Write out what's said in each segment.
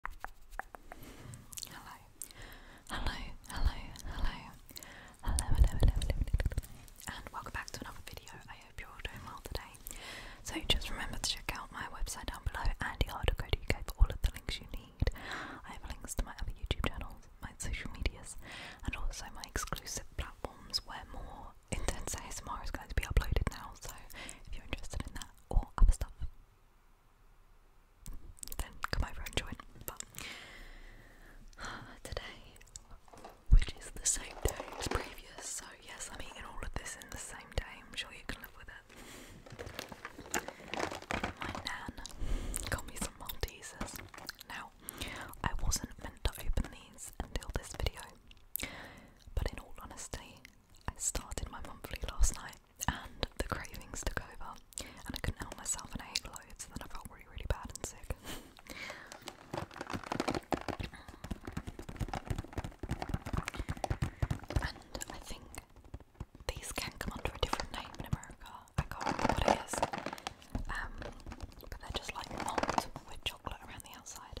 Hello. Hello, hello, hello. Hello, hello, hello, And welcome back to another video. I hope you're doing well today. So just remember to check out my website down below, andyharder.co.uk for all of the links you need. I have links to my other YouTube channels, my social medias, and also my exclusive platforms where more intense ASMR is going to be uploaded now. So if you're interested in that or other stuff, then come over and join. But today, which is the same day as previous, so yes, I'm eating all of this in the same day. I'm sure you can live with it. My nan got me some Maltesers. Now, I wasn't meant to open these until this video, but in all honesty, I started my monthly last night and the cravings took over and I couldn't help myself and I ate loads and then I felt really really bad and sick. and I think these can come under a different name in America. I can't remember what it is. Um, but they're just like malt with chocolate around the outside.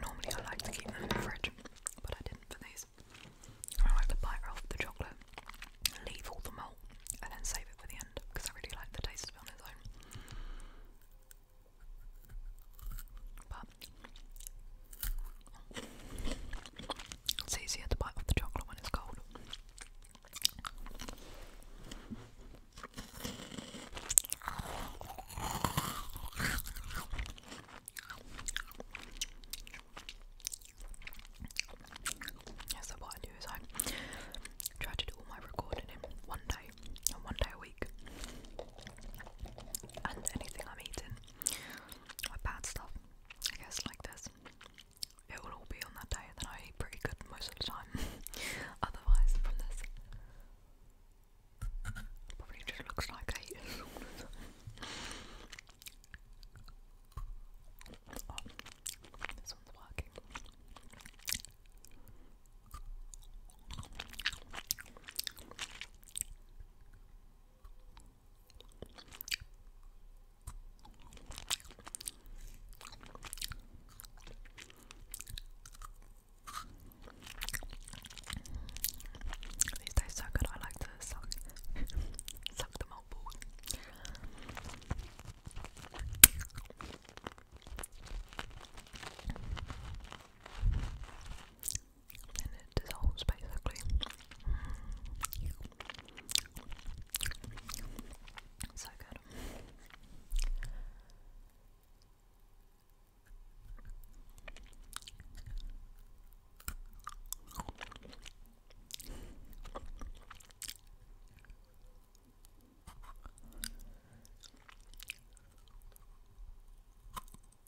Normally, I like to keep them in the fridge, but I didn't for these. I like to bite off the chocolate, leave all the malt, and then save it for the end because I really like the taste of it on its own. It's easier to bite off the chocolate when it's cold. Yeah, so what I do is I try to do all my recording in one day, and one day a week. And anything I'm eating, or bad stuff, I guess, like this. It will all be on that day that I eat pretty good most of the time. Otherwise, from this, probably just looks like I oh, this one's working. These taste so good, I like to suck, suck them all and it dissolves basically. So good.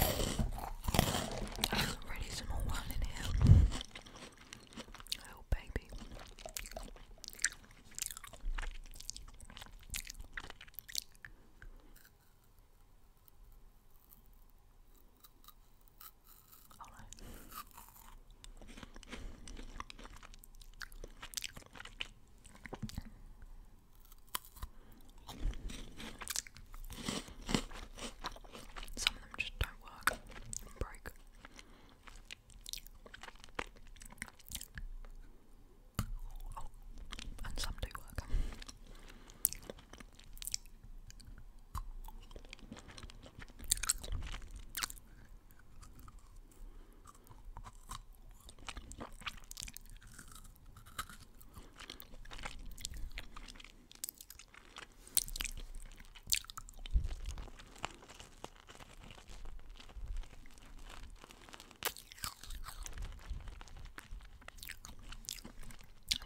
I some more wine in here. Oh baby. Some of them just don't work break. Oh, and some do work. I'm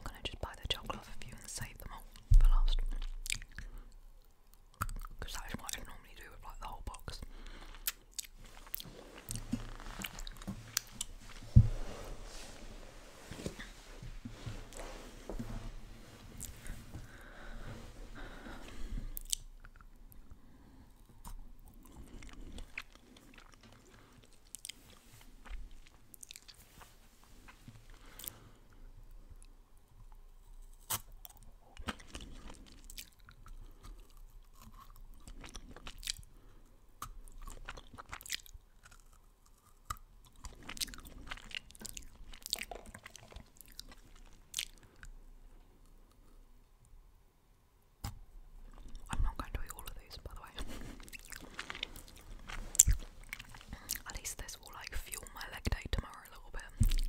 gonna just buy the chocolate off you and save them all for last because that is what I normally do with like the whole box. I'm not going to eat all of these, by the way. At least this will like fuel my leg day tomorrow a little bit.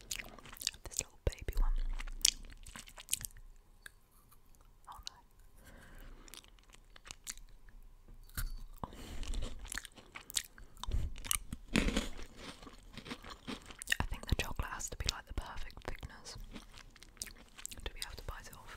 This little baby one. Oh, I think the chocolate has to be like the perfect thickness. Do we have to bite it off?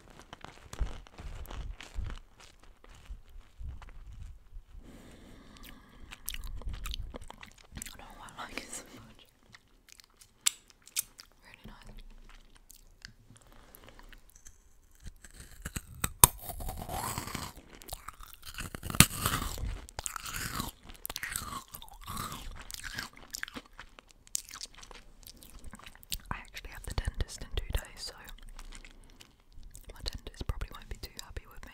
I don't know why I like it so much. Really nice. I actually have the dentist in two days, so my dentist probably won't be too happy with me.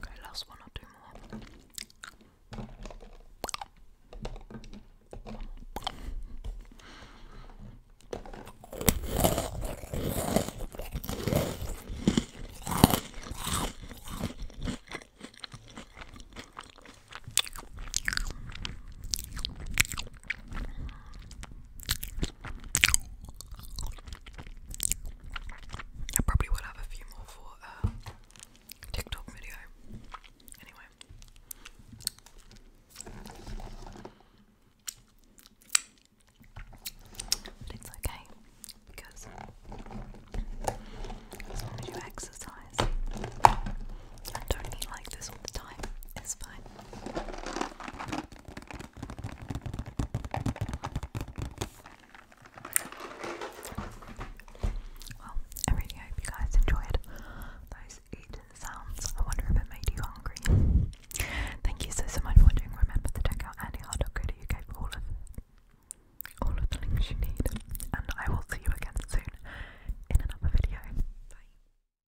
Okay, last one, I'll do more. I probably will have a few more for uh, TikTok video. Anyway. But it's okay because as long as you exercise and don't eat like this all the time, it's fine. Well, I really hope you guys enjoyed those eating sounds. I wonder if it made you hungry. Thank you so so much for watching. Remember to check out andyhard.co.uk for all of all of the links you need. And I will see you again soon in another video. Bye.